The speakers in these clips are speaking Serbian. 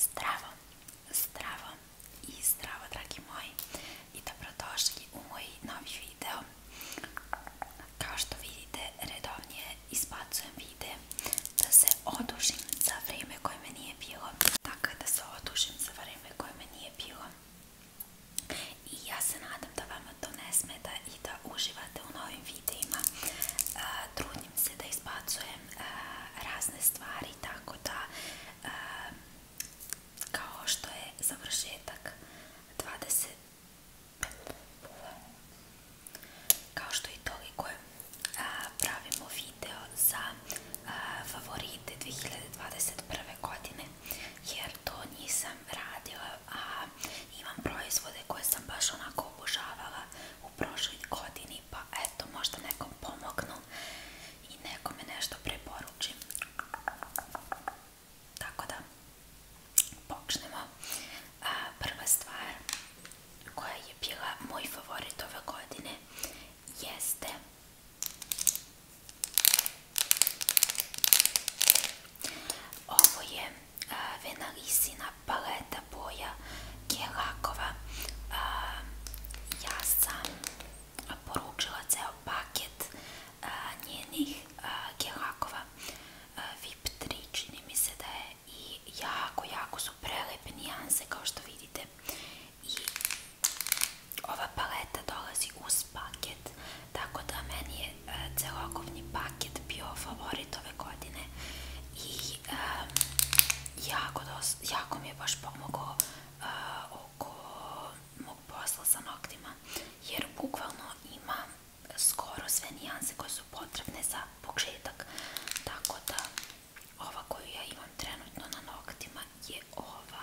Zdravo, zdravo i zdravo dragi moji i dobrodošli u moj novi video. Kao što vidite redovnije izbacujem vide da se odužim za vrijeme koje me nije bilo. Dakle da se odužim za vrijeme koje me nije bilo i ja se nadam da vama to ne smeta i da uživate u novim videima uh, trudim se da izbacujem uh, razne stvari tako da uh, kao što je završetak 20 kao što i toliko je uh, pravimo video za uh, favorite 2021. godine strane jer to nisam radila, a imam proizvode koje sam baš onako obožavala u prošloj godini pa eto možda nekom pomognu i nekome nešto preporučim. Tako da počnemo. A, prva stvar koja je bila moj favorit ove godine jeste Ovo je a, Venarisina paleta boja Kjelakova. A, ja sam poručila ceo paket a, njenih a, Kjelakova VIP 3, čini mi se da je i jako, jako su prelepe nijanse kao što vidite i ova paleta dolazi uz paket Tako da meni je uh, e, celokovni paket bio favorit ove godine i um, jako, dos, jako mi je baš pomogao uh, oko mog posla sa noktima jer bukvalno imam skoro sve nijanse koje su potrebne za početak tako da ova koju ja imam trenutno na noktima je ova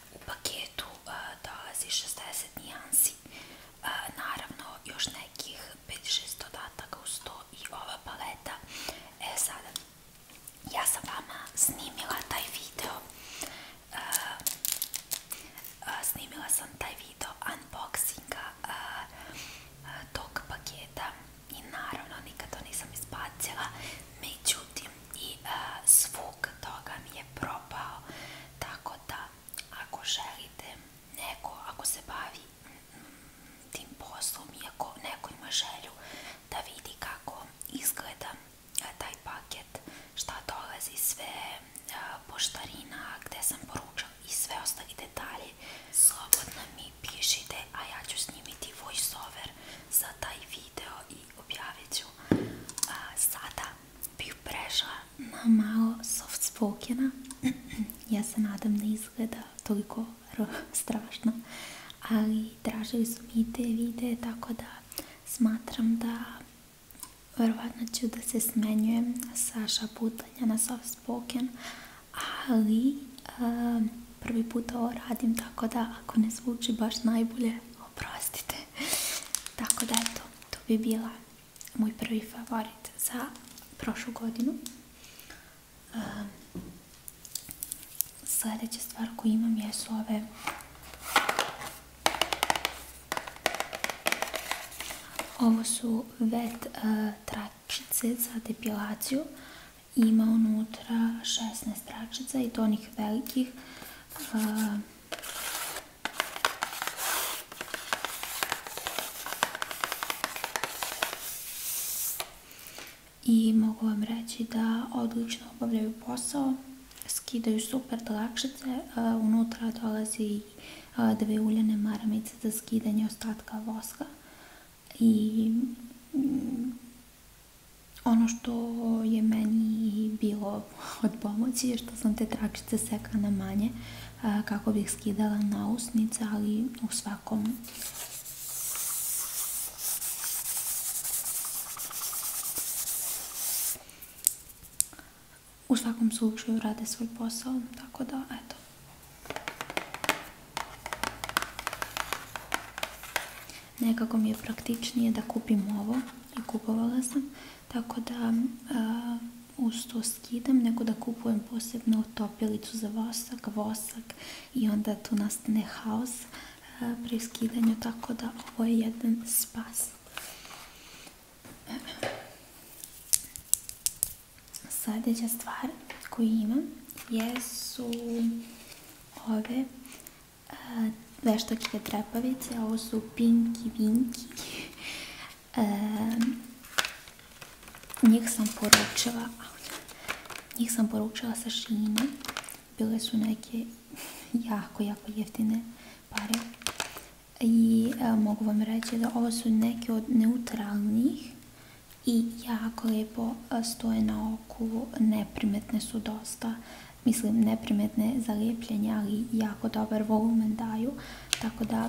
U paketu uh, dolazi 60 nijansi, uh, naravno još nekih 5-6 dodataka uz to i ova paleta. E sada, ja sam vama snimila taj video, uh, uh, snimila sam taj video unboxinga uh, uh, tog paketa i naravno nikad to nisam izbacila, međutim i uh, zvuk toga mi je propao tako da ako želite neko ako se bavi mm, tim poslom i ako neko želju da vidi kako izgleda e, taj paket šta dolazi sve uh, gde sam poručan i sve ostali detalje slobodno mi pišite a ja ću snimiti voice over za taj video i objavit a, sada bih prešla na malo soft spokena ja se nadam ne da izgleda toliko strašno ali tražili su mi tako da smatram da verovatno ću da se smenjujem sa šaputanja na soft spoken ali a, prvi put ovo radim tako da ako ne zvuči baš najbolje oprostite Tako da eto, to bi bila moj prvi favorit za prošlu godinu. Um, Sljedeća stvar koju imam jesu ove Ovo su vet e, tračice za depilaciju. Ima unutra 16 tračica i to onih velikih. I mogu vam reći da odlično obavljaju posao, skidaju super dlakšice, e, unutra dolazi e, dve uljene maramice za skidanje ostatka voska i Ono što je meni bilo od pomoći je što sam te tračice seka na manje kako bih skidala na usnice, ali u svakom u svakom slučaju rade svoj posao, tako da eto. nekako mi je praktičnije da kupim ovo i kupovala sam tako da uh, uz to skidam nego da kupujem posebno topilicu za vosak, vosak i onda tu nastane haos a, pri skidanju tako da ovo je jedan spas sljedeća stvar koju imam jesu ove veštačke trepavice, ovo su pinki vinki. E, njih sam poručila, njih sam poručila sa šine. Bile su neke jako, jako jeftine pare. I e, mogu vam reći da ovo su neke od neutralnih i jako lijepo e, stoje na oku, neprimetne su dosta. mislim neprimetne za lijepljenje, ali jako dobar volumen daju, tako da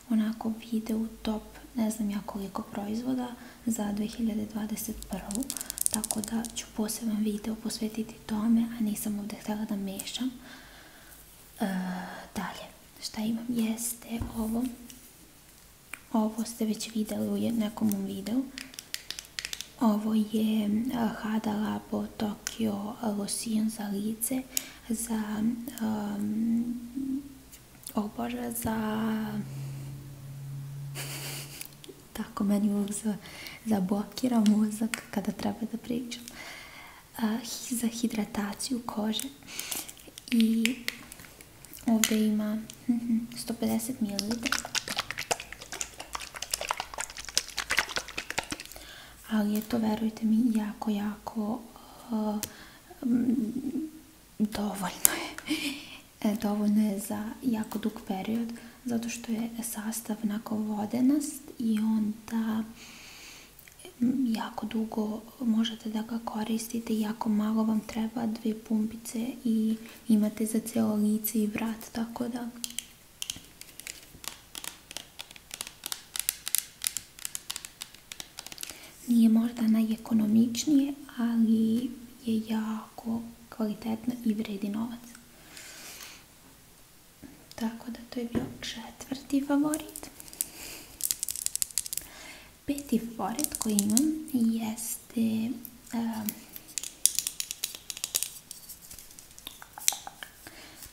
onako vide u top ne znam ja koliko proizvoda za 2021. Tako da ću poseban video posvetiti tome, a nisam ovdje htjela da mešam. E, dalje, šta imam jeste ovo. Ovo ste već videli u nekom videu. Ovo je e, Hadala po Tokyo Lotion za lice za um, oh Bože, za tako meni uvijek zablokira mozak kada treba da pričam uh, za hidrataciju kože i ovde ima 150 mhm, ml ali je to, verujte mi, jako, jako uh, dovoljno je. E, dovoljno je za jako dug period, zato što je sastav onako vodenast i onda mm, jako dugo možete da ga koristite, jako malo vam treba dve pumpice i imate za celo lice i vrat, tako da Nije možda najekonomičnije, ali je jako kvalitetno i vredi novac. Tako da to je bio četvrti favorit. Peti favorit koji imam jeste... Um,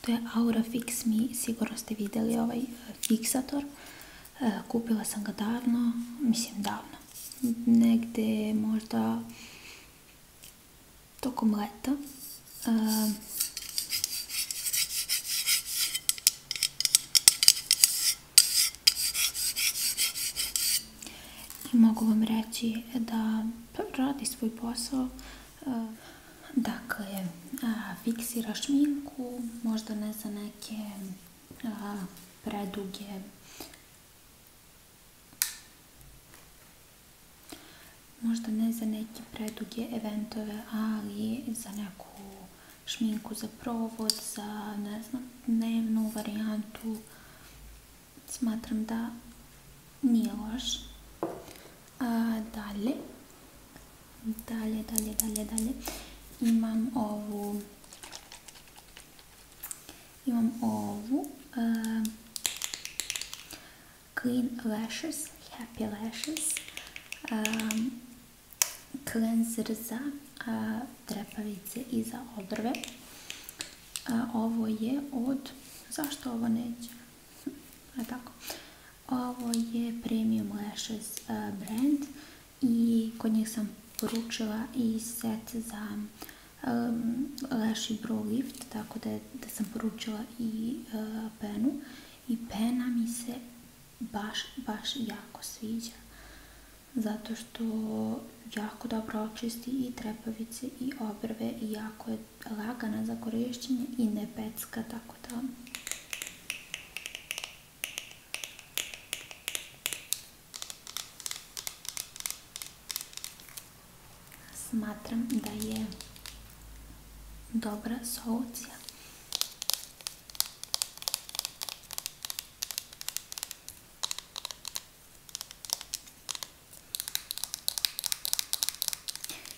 To je Aura Fix Me, sigurno ste vidjeli ovaj e, fiksator. E, kupila sam ga davno, mislim davno, negdje možda tokom leta. E, I mogu vam reći da radi svoj posao, Eh, dakle, eh, fiksira šminku, možda ne za neke a, eh, preduge možda ne za neke preduge eventove, ali za neku šminku za provod, za ne znam, dnevnu varijantu smatram da nije loš A dalje, dalje, dalje, dalje, dalje, imam ovu, imam ovu, uh, Clean Lashes, Happy Lashes, um, cleanser za uh, trepavice i za obrve. Uh, ovo je od, zašto ovo neće? A tako, Ovo je Premium Lashes e, brand i kod njih sam poručila i set za um, lash i brow lift, tako da, da sam poručila i e, penu. I pena mi se baš, baš jako sviđa. Zato što jako dobro očisti i trepavice i obrve i jako je lagana za korišćenje i ne pecka, tako da Smatram da je dobra solucija.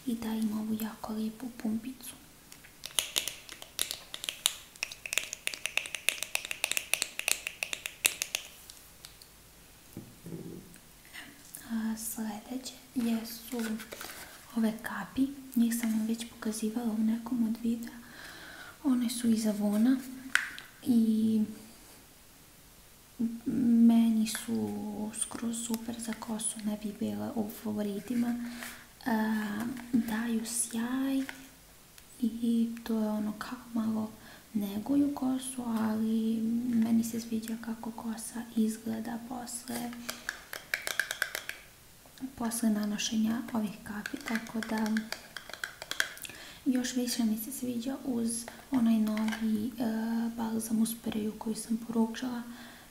I da ima ovu jako lijepu pumpicu. A sledeće jesu ove kapi. Njih sam vam već pokazivala u nekom od videa. One su iz Avona i meni su skroz super za kosu. Ne bi bila u favoritima, daju sjaj i to je ono kao malo neguju kosu, ali meni se sviđa kako kosa izgleda posle posle nanošenja ovih kapi, tako da još više mi se sviđa uz onaj novi e, balzam u spreju koji sam poručala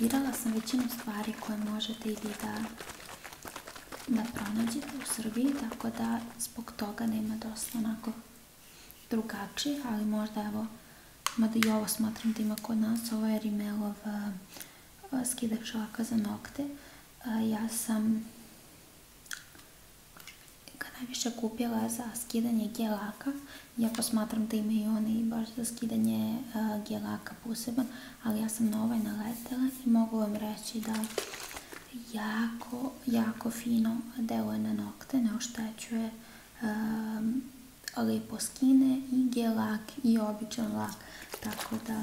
Birala sam većinu stvari koje možete i vi da, da pronađete u Srbiji, tako da zbog toga nema dosta onako drugačije, ali možda evo, mada i ovo smatram da ima kod nas, ovo je Rimelov skidak šlaka za nokte. Uh, ja sam ga najviše kupila za skidanje gelaka, Ja posmatram da imaju one i baš za skidanje uh, e, gelaka poseban, ali ja sam na ovaj naletela i mogu vam reći da jako, jako fino deluje na nokte, ne oštećuje, um, lepo skine i gelak i običan lak, tako da...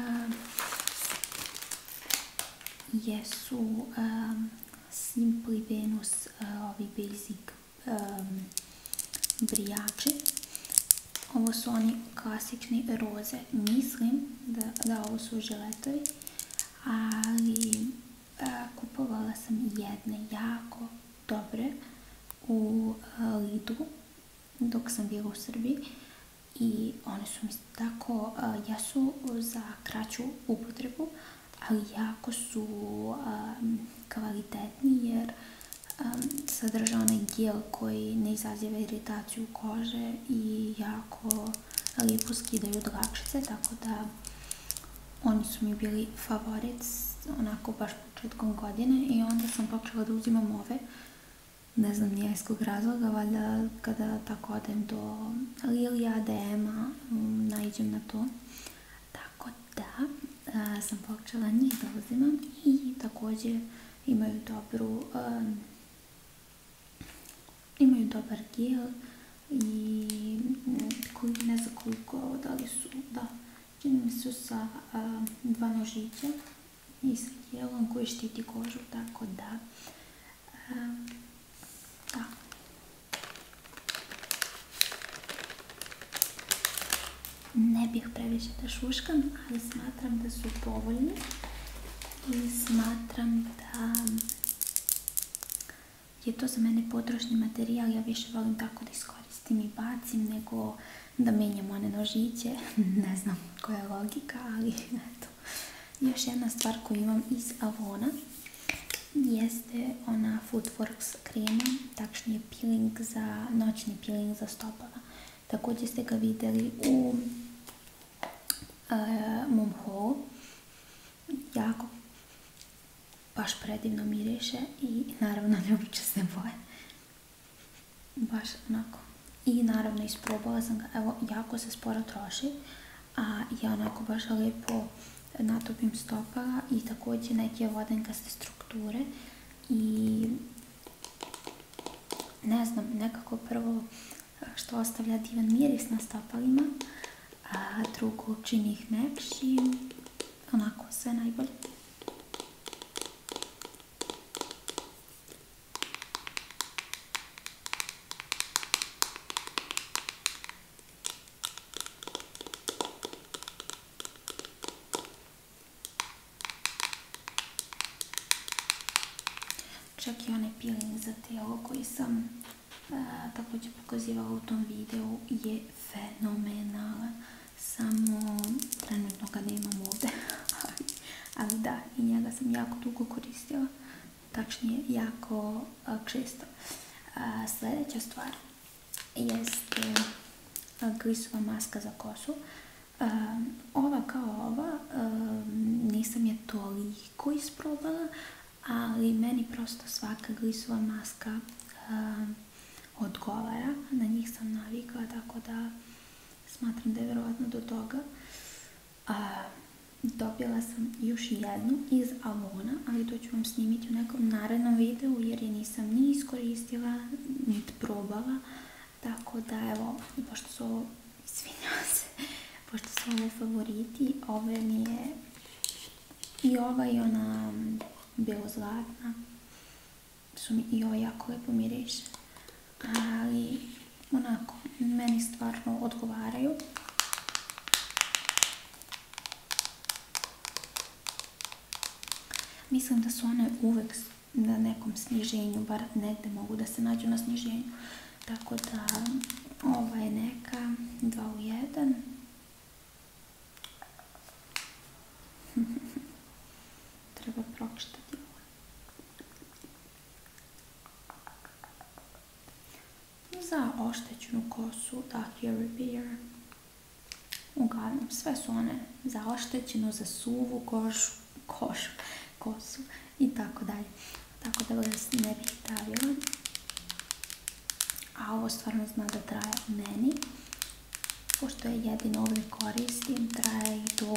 Eh, jesu um, eh, Simply Venus uh, ovi basic um, brijači ovo su oni klasični roze mislim da, da ovo su želetovi ali uh, kupovala sam jedne jako dobre u uh, Lidu dok sam bila u Srbiji i one su mi tako, jesu za kraću upotrebu, ali jako su um, kvalitetni jer um, sadrža onaj gel koji ne izaziva iritaciju kože i jako lijepo skidaju dlakšice, tako da oni su mi bili favorit onako baš početkom godine i onda sam počela da uzimam ove ne znam nijeskog razloga, valjda kada tako odem do Lilija, DM-a, um, mm, na to. Tako da sam počela njih da uzimam i također imaju dobru imaju dobar gel i mm, koji ne znam koliko da su, da čini mi su sa dva nožića i sa gelom koji štiti kožu tako da Um, ja. Da. Ne bih previše da šuškam, ali smatram da su povoljni i smatram da je to za mene potrošni materijal. Ja više volim tako da iskoristim i bacim nego da menjam one nožiće. ne znam koja je logika, ali isto. Još jedna stvar koju imam iz Avona jeste ona Foodworks krema, takšnije peeling za, noćni peeling za stopala. Također ste ga vidjeli u e, mom haulu. Jako baš predivno miriše i naravno ljubit ću se boje. Baš onako. I naravno isprobala sam ga, evo jako se sporo troši, a ja onako baš lepo natopim stopala i također neke vodenkaste strukture i ne znam, nekako prvo što ostavlja divan miris na stopalima, a drugo čini ih mekšim, onako sve najbolje. Čak i onaj peeling za telo koji sam uh, također pokazivala u tom videu je fenomenalan. Samo trenutno ga nemam ovdje, ali da, i njega sam jako dugo koristila tačnije jako često. Sljedeća stvar jest glisova maska za kosu. Ova kao ova, nisam je toliko isprobala, ali meni prosto svaka glisova maska odgovara. Na njih sam navikla, tako da smatram da je vjerojatno do toga. A, dobila sam još jednu iz Avona, ali to ću vam snimiti u nekom narednom videu jer je nisam ni iskoristila, niti probala. Tako da, evo, pošto su ovo, izvinjam se, pošto su ovo favoriti, ove mi je i ova i ona belozlatna, su mi i ova jako lepo miriše. Ali, onako, meni stvarno odgovaraju. Mislim da su one uvek na nekom sniženju, bar negde mogu da se nađu na sniženju. Tako da ova je neka 2 u 1. Treba prokštati Za oštećenu kosu, dakle repair. Uglavnom, sve su one za oštećenu, za suvu kožu, košu, kosu i tako dalje. Tako da vas ne bih stavila. A ovo stvarno zna da traje meni. Pošto je jedino ovdje koristim, traje i do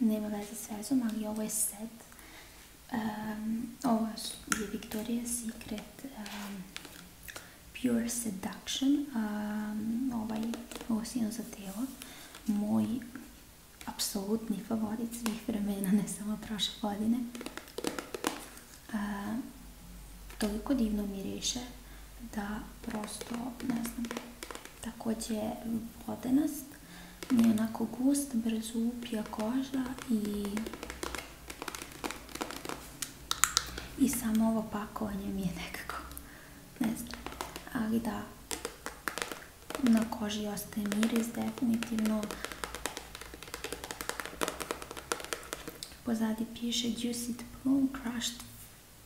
nema veze s vezom, ali ovo je set. Um, ovo je Victoria's Secret Pure Seduction. Um, ovaj osino za telo. Moj apsolutni favorit svih vremena, ne samo prošle godine. toliko divno miriše da prosto, ne znam, također vodenost mi je onako gust, brezupija koža i i samo ovo pakovanje mi je nekako ne znam, ali da na koži ostaje miris definitivno pozadi piše Juicy Plum Crushed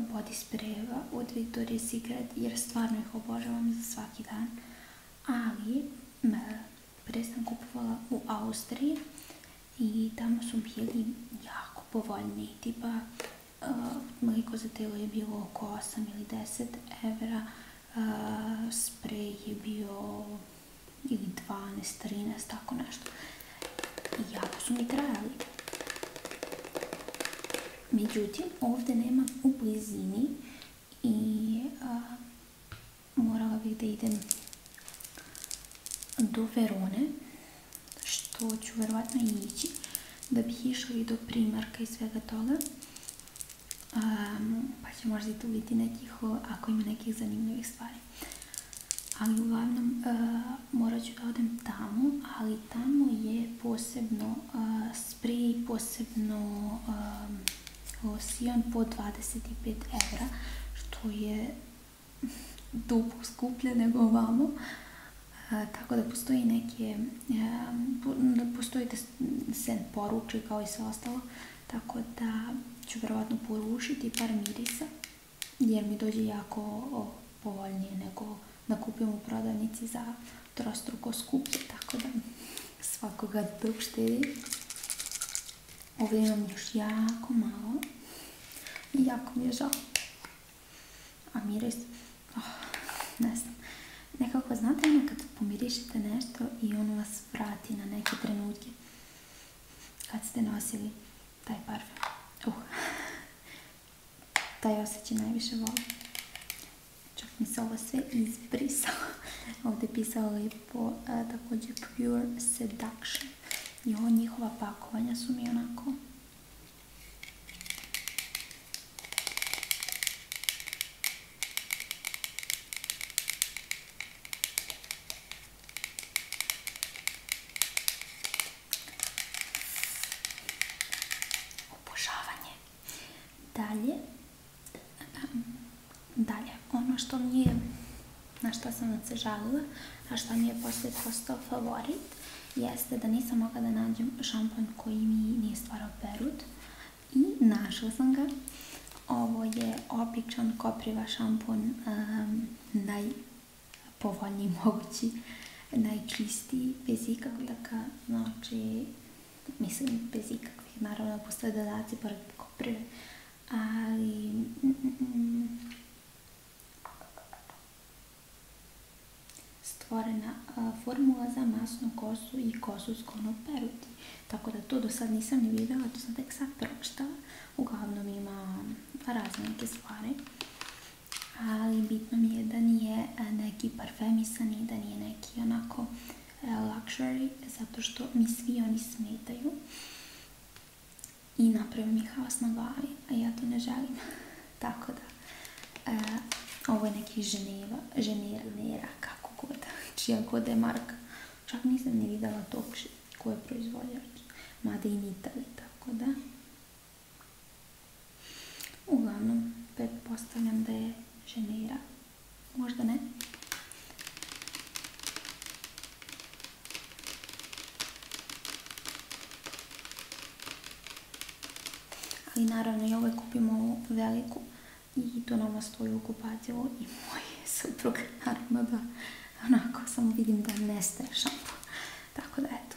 body sprayeva od Victoria's Secret jer stvarno ih obožavam za svaki dan ali pre sam kupovala u Austriji i tamo su bili jako povoljni tipa uh, mliko za telo je bilo oko 8 ili 10 evra uh, sprej je bio ili 12, 13 tako nešto i jako su mi trajali. Međutim, ovdje nema u blizini i morala bih da idem do Verone, što ću verovatno ići, da bih išla i do primarka i svega toga. Um, pa će možda i tu biti nekih, ako ima nekih zanimljivih stvari ali uglavnom e, morat ću da odem tamo ali tamo je posebno e, sprej, posebno e, losion po 25 evra što je duplo skuplje nego ovamo tako da postoji neke da postoji da se poruči kao i sve ostalo tako da ću vjerovatno porušiti par mirisa jer mi dođe jako o, povoljnije nego da kupim u prodavnici za trostruko skuplje, tako da svakoga dok da štedi. Ovdje imam još jako malo i jako mi je žao. A miris, oh, ne znam, nekako znate ono kad pomirišite nešto i ono vas vrati na neke trenutke kad ste nosili taj parfem. Uh. taj osjećaj najviše volim. Čak mi se ovo sve izbrisalo. Ovdje je pisalo lepo također Pure Seduction. I ovo njihova pakovanja su mi onako obožavanje. Dalje, dalje, ono što mi je, na što sam se žalila, a što mi je posle postao favorit, jeste da nisam mogla da nađem šampon koji mi nije stvarao perut i našla sam ga. Ovo je običan kopriva šampon um, naj najpovoljniji mogući, najčistiji, bez ikakvih taka, znači, mislim, bez ikakvih, naravno postoje dodaci pored koprive, ali... stvorena formula za masnu kosu i kosu s konom peruti. Tako da to do sad nisam ni videla, to sam tek sad pročitala. Uglavnom ima razne neke stvari ali bitno mi je da nije e, neki parfemisani, da nije neki onako e, luxury, zato što mi svi oni smetaju i napravim ih haos na glavi, a ja to ne želim. Tako da, e, ovo je neki ženeva, ženera, nera, kako god, čija god je marka. Čak nisam ni videla to ko je proizvođač, mada i Itali, tako da, Uglavnom, pet pretpostavljam da je ženira. Možda ne. Ali naravno i ove kupimo ovu veliku i to nama stoji u kupatilu i moj suprug naravno da onako samo vidim da nestaje šampu. Tako da eto,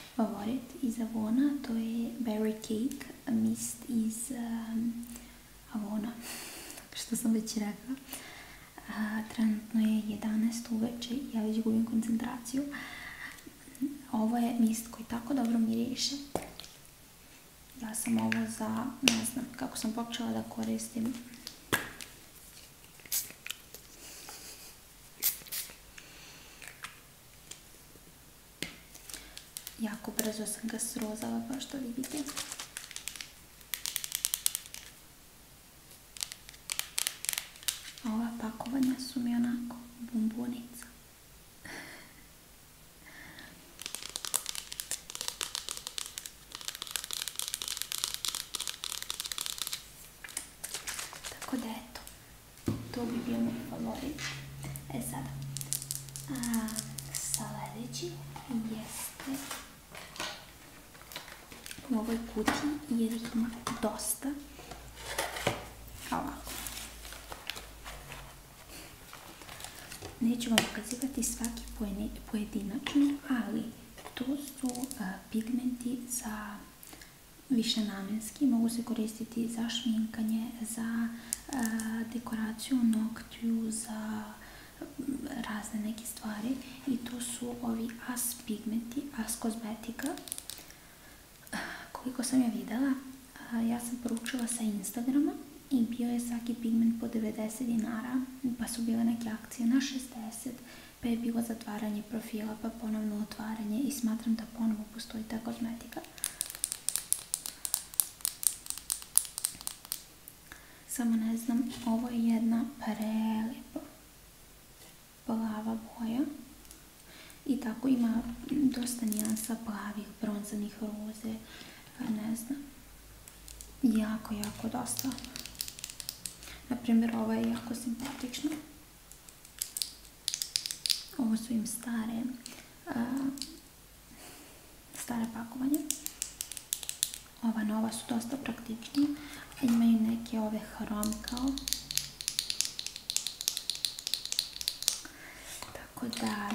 favorit iz Avona, to je Berry Cake, a mist iz um, Avona, što sam već rekla. trenutno je 11 uveče i ja već gubim koncentraciju. Ovo je mist koji tako dobro miriše. Ja sam ovo za, ne znam, kako sam počela da koristim Jako brzo sam ga srozala, pa što vidite. A ova pakovanja su mi onako bumbunica. Tako da eto, To bi bio moj favorit. E sada, a, jeste u ovoj kutiji jer ih ima dosta. Ovako. Neću vam pokazivati svaki pojedinačno, ali to su e, pigmenti za višenamenski. Mogu se koristiti za šminkanje, za dekoraciju noktiju za razne neke stvari i to su ovi As pigmenti, As kozmetika koliko sam ja videla ja sam poručila sa Instagrama i bio je svaki pigment po 90 dinara pa su bile neke akcije na 60 pa je bilo zatvaranje profila pa ponovno otvaranje i smatram da ponovo postoji ta kozmetika Samo ne znam, ovo je jedna prelijepa plava boja. I tako ima dosta nijansa plavih, bronzanih roze, pa ne znam. Jako, jako dosta. Naprimjer, ova je jako simpatična. Ovo su im stare, stare pakovanje. Ova nova su dosta praktični. Imaju neke ove hrom kao. Tako da,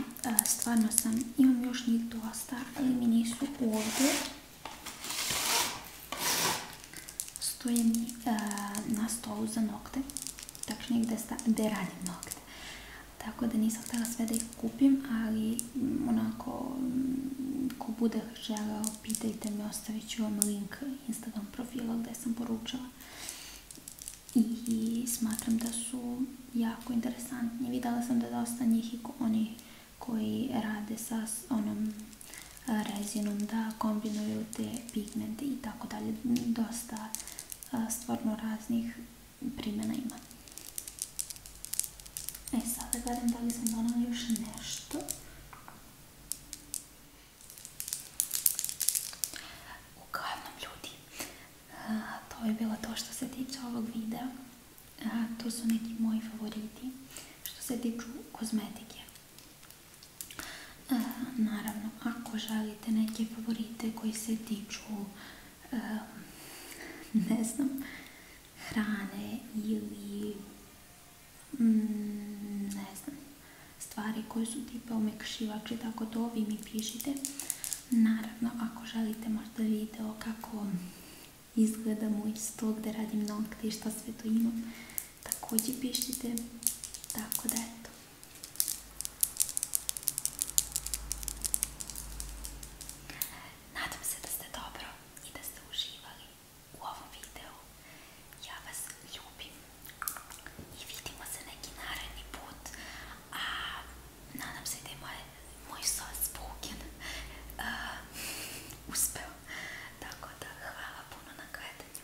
stvarno sam, imam još njih dosta, ali mi nisu ovdje. Stoje mi na stolu za nokte tačnije gde, sta, gde radim nokte. Tako da nisam htjela sve da ih kupim, ali mm, onako, mm, ko bude želeo, pitajte me, ostavit ću vam link Instagram profila gde sam poručila. I smatram da su jako interesantni. Videla sam da dosta njih i oni koji rade sa onom rezinom, da kombinuju te pigmente i tako dalje. Dosta stvarno raznih primjena ima. E sad da gledam da li sam donala još nešto. Uglavnom ljudi, a, to je bilo to što se tiče ovog videa. A, to su neki moji favoriti što se tiču kozmetike. E, naravno, ako želite neke favorite koji se tiču, e, ne znam, hrane ili, mm, ne znam, stvari koje su tipa omekšivači, tako to vi mi pišite. Naravno, ako želite možda video kako izgleda moj sto gde da radim nokte i šta sve to imam, također pišite, tako da eto. Nadam se da ste dobro i da ste uživali u ovom videu. Ja vas ljubim i vidimo se neki naredni put. A nadam se da je moj, moj sos Bukin uh, uspeo. Tako da hvala puno na gledanju.